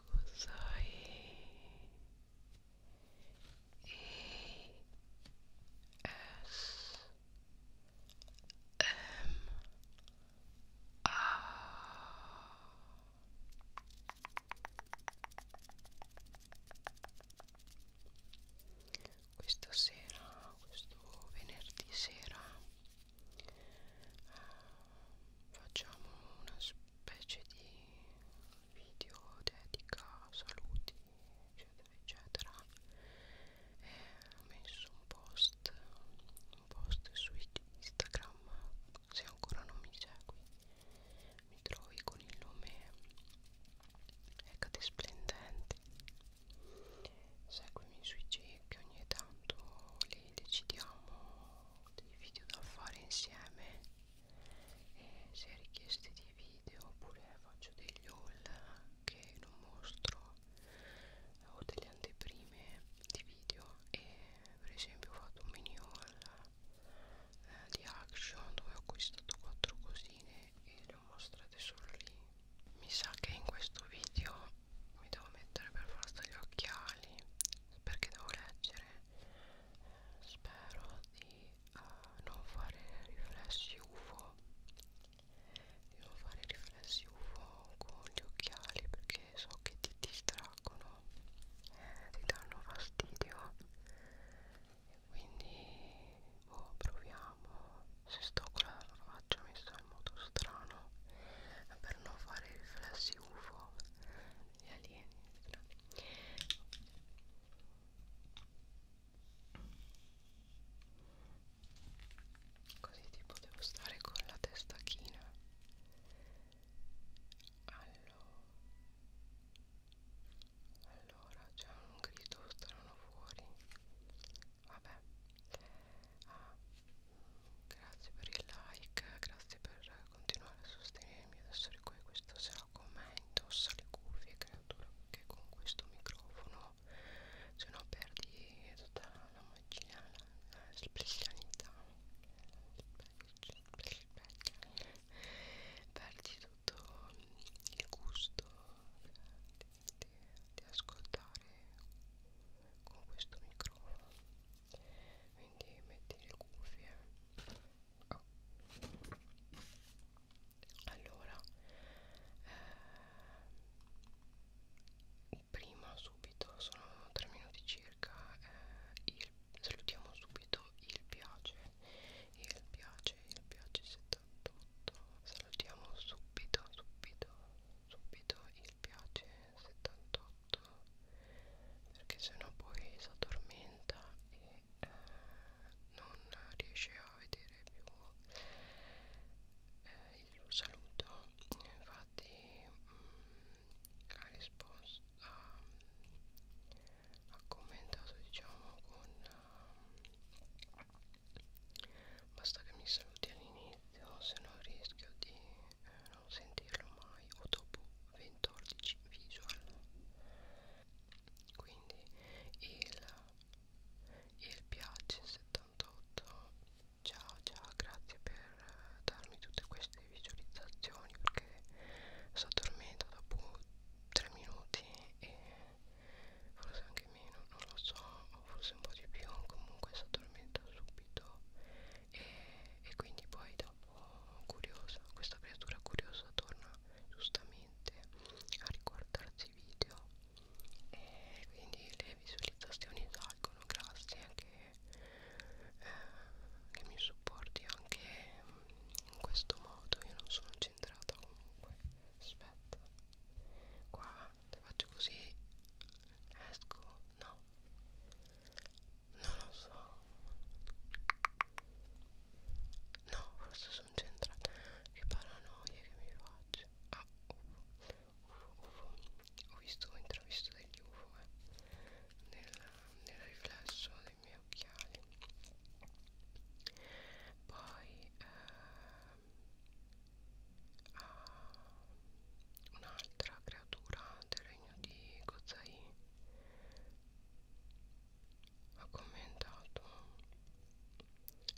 cos'hai e s m a questa sera, questo venerdì sera, facciamo una spesa specie di video dedica saluti eccetera eccetera e ho messo un post un post su Instagram se ancora non mi segui mi trovi con il nome Ecate Splendente seguimi sui G che ogni tanto li decidiamo dei video da fare insieme e se richieste di video oppure faccio degli haul che non mostro ho delle anteprime di video e per esempio ho fatto un mini haul eh, di action dove ho acquistato quattro cosine e le ho mostrate solo lì mi sa che in questo video mi devo mettere per forza gli occhiali perché devo leggere spero di uh, non fare riflessi UFO di non fare riflessi UFO con gli occhiali perché so che ti distraggono eh, ti danno fastidio e quindi boh, proviamo se sto con la faccia mi sto in modo strano eh, per non fare riflessi UFO gli alieni strani così tipo devo stare con la testa china allora allora c'è un grido strano fuori vabbè ah, grazie per il like grazie per continuare a sostenermi adesso qui questo sarà con me indossa le cuffie creatura perché con questo microfono se no perdi tutta la magia la, la specialità perdi tutto il gusto di, di ascoltare con questo microfono quindi metti le cuffie oh. allora eh, prima subito sono 3 minuti circa eh, il, salutiamo subito il piace il piace il piace 78 salutiamo subito subito subito il piace 78 perché sennò poi si addormenta e eh, non riesce a vedere più eh, il saluto infatti mh, mm, ha risposto ha, ha commentato diciamo con uh, basta che mi saluti all'inizio se no rischio di eh, non sentirlo mai o dopo 14 visual quindi il, il piace 78 ciao ciao grazie per eh, darmi tutte queste visualizzazioni perché sto dormendo dopo 3 minuti e forse anche meno non lo so o forse un po' di più comunque si addormenta subito e, e quindi poi dopo curiosa, questa creatura curiosa torna giustamente a riguardarsi i video e quindi le visualizzazioni salgono grazie che, eh, che mi supporti anche in questo modo io non sono centrata comunque aspetta qua se faccio così esco no non lo so no forse sono centrata che paranoia che mi faccio ah ufo ufo ufo ho visto ho intravisto degli ufo eh, nel, nel riflesso dei miei occhiali poi ehm, ah, un'altra creatura del regno di Kozai ha commentato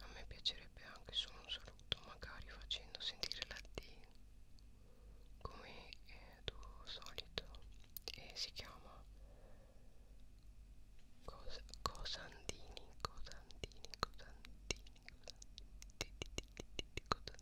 a me piacerebbe anche solo un saluto magari facendo sentire la D come è tuo solito e si chiama Cos Cosandini Cosandini Cosandini Cosandini Cosandini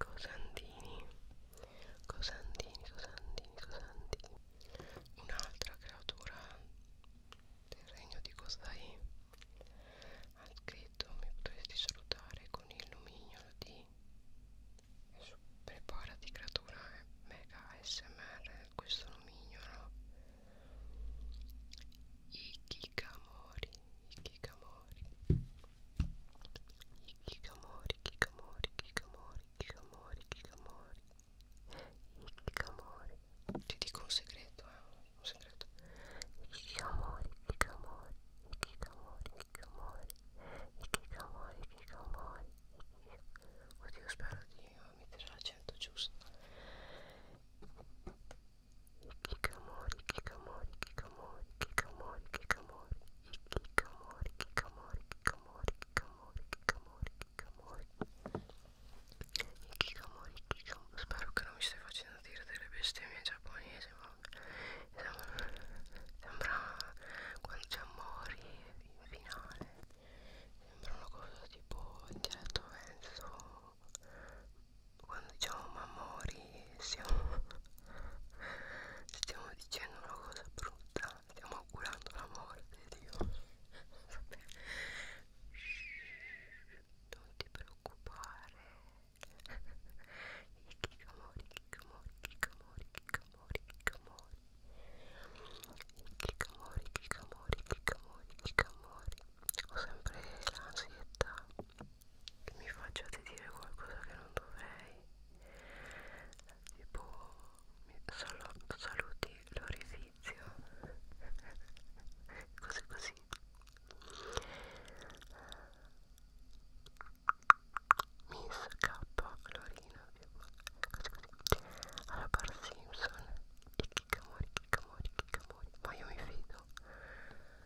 Cosandini Cosandini Cosandini Cosandini Un'altra creatura del regno di Cosai ha scritto mi potresti salutare con il nomignolo di preparati creatura mega smr questo nomignolo i Kikamori Hikikomori. Hikikomori, Kikomori, Kikomori, Kikomori, Kikomori. Hikikomori. Ti dico un segreto, eh, Un segreto. Hikikomori, Kikomori, Hikikomori, Kikomori. Hikikomori, Kikomori. Oddio, spero di mettere l'accento giusto. i kikamori, kikamori, kikamori, kikamori, kikamori, i kikamori, kikamori, kikamori, kikamori, kikamori, kikamori, i kikamori, kikamori. Spero che non mi stai facendo dire delle bestemmie giapponesi, vabbè. Sembra quando c'è Mori in finale. Sembra una cosa tipo il diretto verso quando diciamo mamori stiamo, stiamo dicendo una cosa brutta stiamo augurando la morte di Dio vabbè Shhh, non ti preoccupare i chicamori chicamori chicamori chicamori chicamori i chicamori chicamori chicamori chicamori ho sempre l'ansietà che mi facciate dire qualcosa che non dovrei tipo sal saluti l'orifizio cose così Miss K Lorina cose così alla Bar Simpson i Kikamori Kikamori Kikamori ma io mi fido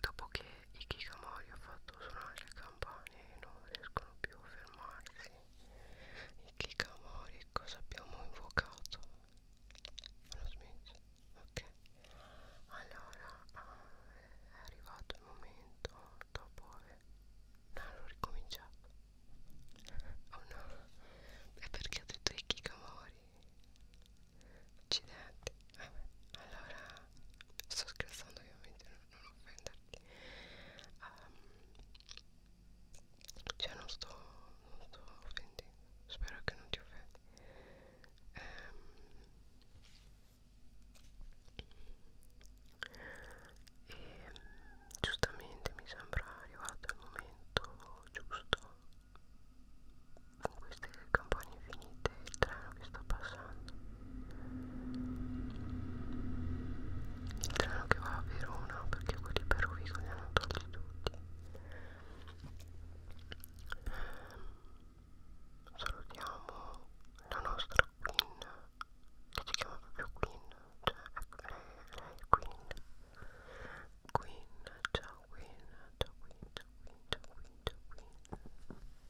dopo che i Kikamori ha fatto suonare le campane e non riescono più a fermarsi i Kikamori cosa abbiamo invocato? Lo smesso? Ok allora ah, è arrivato il momento dopo aver no, ricominciato oh no è perché ho detto i Kikamori accidenti vabbè allora sto scherzando ovviamente non, non offenderti um, cioè non sto non sto offendendo spero che non ti offendi um, ehm, e giustamente mi sembra arrivato il momento giusto in queste campagne finite il treno che sta passando il treno che va a Verona perché quelli per Rovigo li hanno tolti tutti ehm, salutiamo la nostra Queen che si chiama proprio Queen cioè ecco, lei, lei è Queen Queen ciao Queen ciao Queen ciao Queen ciao Queen ciao Queen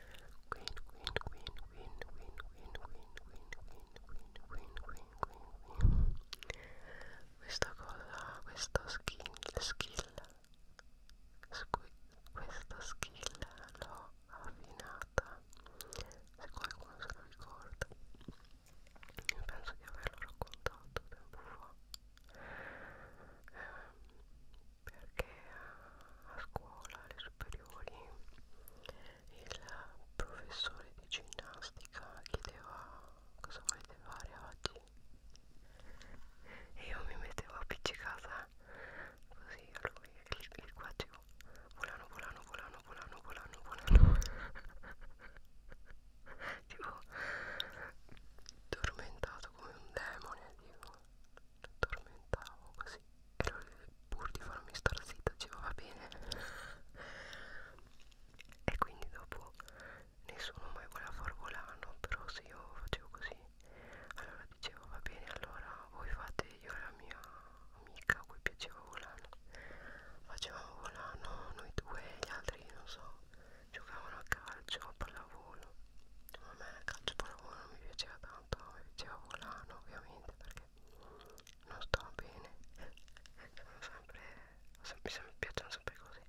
Queen, queen, queen, queen, queen, queen, queen, queen, queen, queen, queen, queen, queen. Questa cosa, questa skill, skill, questa skill l'ho affinata. Se qualcuno se lo ricorda, io penso di averlo raccontato tempo fa. Eh, perché a scuola, alle superiori, il professore di ginnastica chiedeva cosa volete fare oggi e io mi mettevo appiccicata così a lui e il quadrivo volano volano volano volano volano volano tipo tormentato come un demone tipo tormentavo così era pur di farmi star zitta diceva va bene e quindi dopo nessuno mai voleva far volano però se io facevo così allora dicevo va bene allora voi fate io e la mia amica a cui piaceva volano facevamo volano noi due e gli altri non so giocavano a calcio a pallavolo a me calcio pallavolo non mi piaceva tanto mi piaceva volano ovviamente perché non sto bene sono sempre, sempre, sempre mi piacciono sempre cose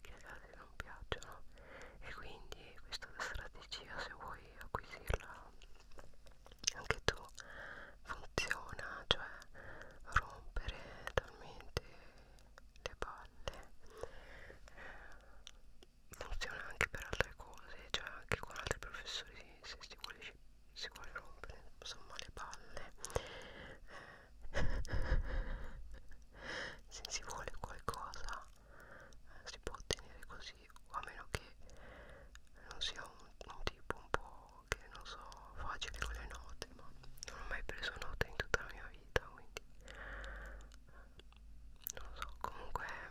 che ad altri non piacciono e quindi questa strategia se vuoi acquisirla anche tu funziona cioè rompere talmente le palle eh, funziona anche per altre cose cioè anche con altri professori se si vuole ci, si vuole rompere insomma le palle eh. se si vuole qualcosa eh, si può ottenere così o a meno che non sia un, un tipo un po' che non so facile con le note ma non ho mai preso note in tutta la mia vita quindi eh, non lo so comunque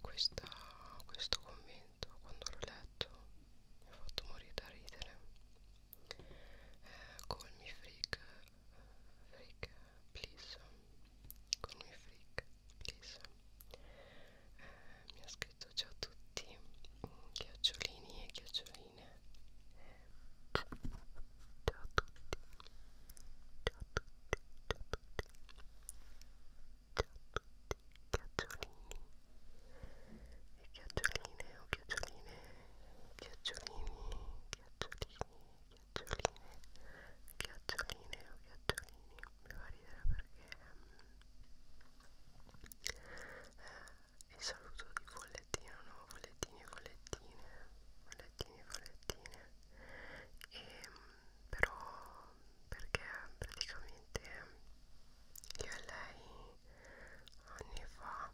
questa, questo commento quando l'ho letto mi ha fatto morire da ridere eh, call me freak freak please call me freak please eh, mi ha scritto ciao a tutti chiocciolini e chiocccioline eh, ciao a tutti ciao a tutti ciao a tutti ciao a tutti chiocciolini e chioccioline o chioccioline chiocciolini chiocciolini chiocciolini chiocciolini o chiocciolini mi fa ridere perché um, eh, il saluto di follettino no follettini follettine follettini follettine e um, però perché praticamente io e lei anni fa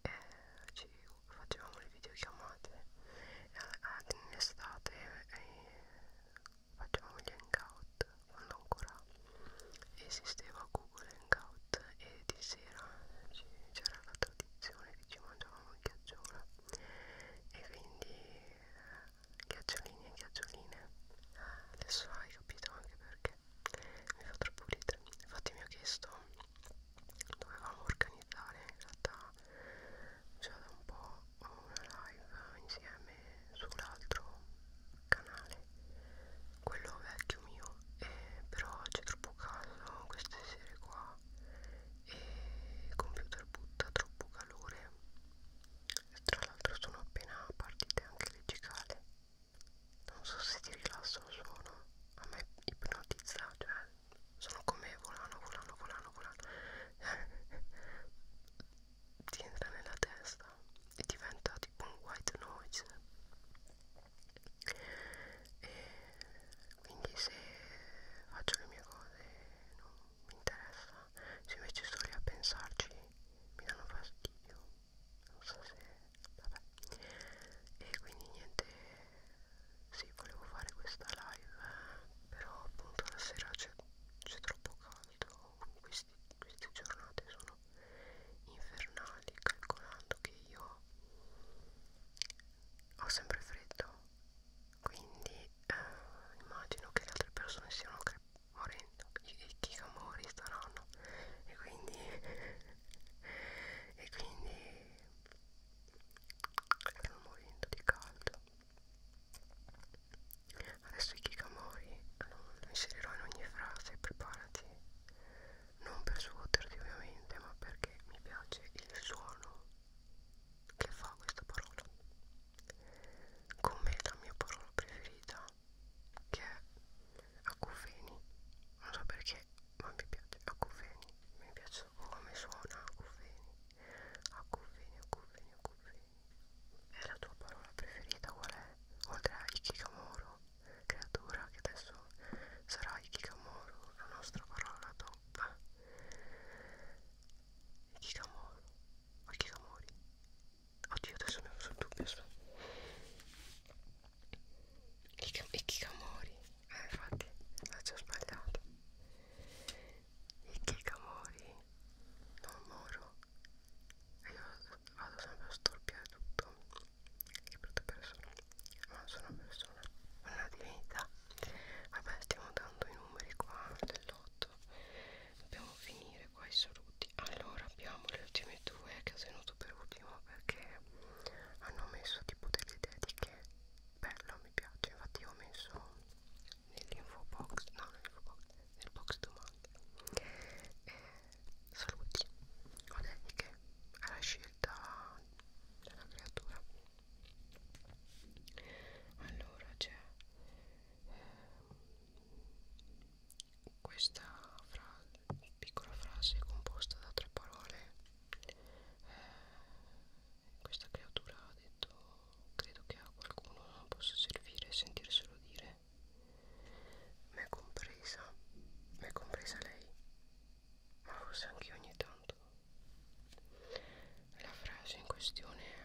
eh, ci facevamo le videochiamate eh, in estate eh, facevamo gli hangout quando ancora esisteva Google Hangout e di sera c'era la tradizione che ci mangiavamo il ghiacciolo e quindi eh, ghiaccioline e ghiaccioline adesso hai capito anche perché mi fa troppo ridere infatti mi ha chiesto dovevamo organizzare in realtà già da un po' una live insieme sull'altro canale quello vecchio mio eh, però c'è troppo caldo queste sere qua e il computer butta troppo calore e tra l'altro sono appena partite anche le cicale non so se ti rilasso il suono a me ipnotizza cioè sono come volano volano volano volano ti entra nella testa e diventa tipo un white noise e quindi se faccio le mie cose non mi interessa se invece sto lì a pensarci mi danno fastidio non so se vabbè e quindi niente sì volevo fare questa live però appunto la sera c'è troppo caldo Questi, queste giornate sono infernali calcolando che io ho sempre freddo quindi eh, immagino che le altre persone siano morendo i chigamori staranno e quindi e quindi erano morendo di caldo adesso i chigamori lo inserirò in ogni frase preparati non per svuoterti ovviamente ma perché mi piace il suono che fa questa parola come la mia parola preferita che è acufeni non so perché ma mi piace acufeni mi piace come suona acufeni acufeni acufeni acufeni è la tua parola preferita qual è? oltre a ikigamoro creatura che adesso sarà ikigamoro la nostra parola top ikigamoro ma che amori oddio adesso mi ho messo il dubbio so. i Kikamori eh infatti l'ho ah, già sbagliato i Kikamori non moro e io vado sempre a storpiare tutto che brutta persona ma non sono una persona una divinità vabbè stiamo dando i numeri qua dell'otto dobbiamo finire qua i saluti allora abbiamo le ultime due che ho tenuto per ultimo perché hanno messo tipo delle dediche bello mi piace infatti io ho messo nell'info box no nell'info box nel box domande e saluti o dediche alla scelta della creatura allora c'è cioè, questa frase, piccola frase composta da tre parole, eh, questa creatura ha detto, credo che a qualcuno non possa servire e sentirselo dire. M'è compresa, m'è compresa lei, ma forse anche ogni tanto. La frase in questione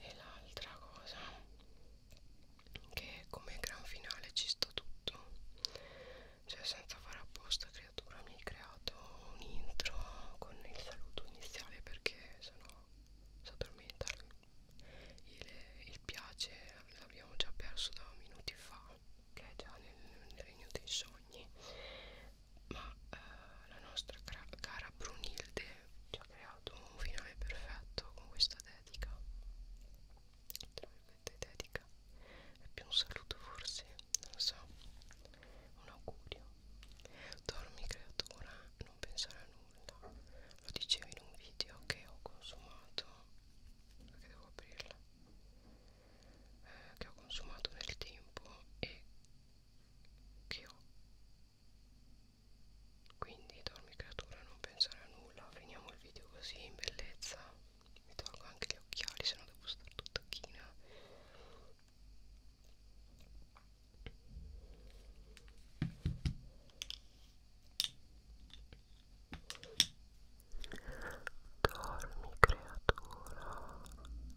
e l'altra cosa che come gran finale ci sta tutto cioè senza fare apposta creatura mi hai creato un intro con il saluto iniziale perché sennò si addormenta il, il piace l'abbiamo già perso da minuti fa che è già nel, nel regno dei sogni ma eh, la nostra cara Brunilde ci ha creato un finale perfetto con questa dedica tra virgolette dedica è più un saluto forse non lo so un augurio dormi creatura non pensare a nulla lo dicevo in un video che ho consumato perché devo aprirla eh, che ho consumato nel tempo e che ho quindi dormi creatura non pensare a nulla finiamo il video così in bellezza mi tolgo anche gli occhiali se no devo stare tutta china dormi creatura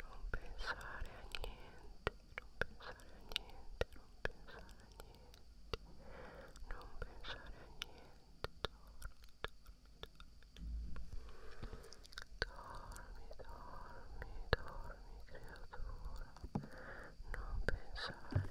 non pensare a niente, non pensare a niente, non pensare a niente, non pensare a niente, dormi, dormi, dormi, dormi creatura, non pensare a niente,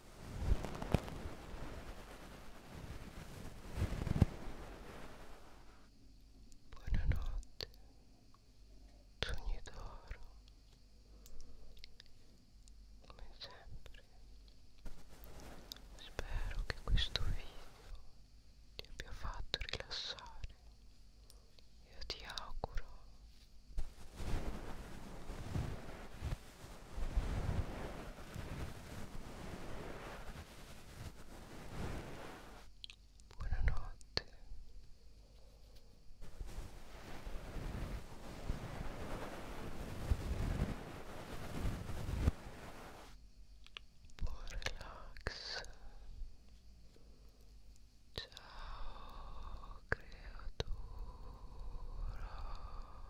Buonanotte, sogni d'oro, come sempre. Spero che questo video ti abbia fatto rilassare. Io ti auguro Buonanotte. Buon relax. Ciao creatura.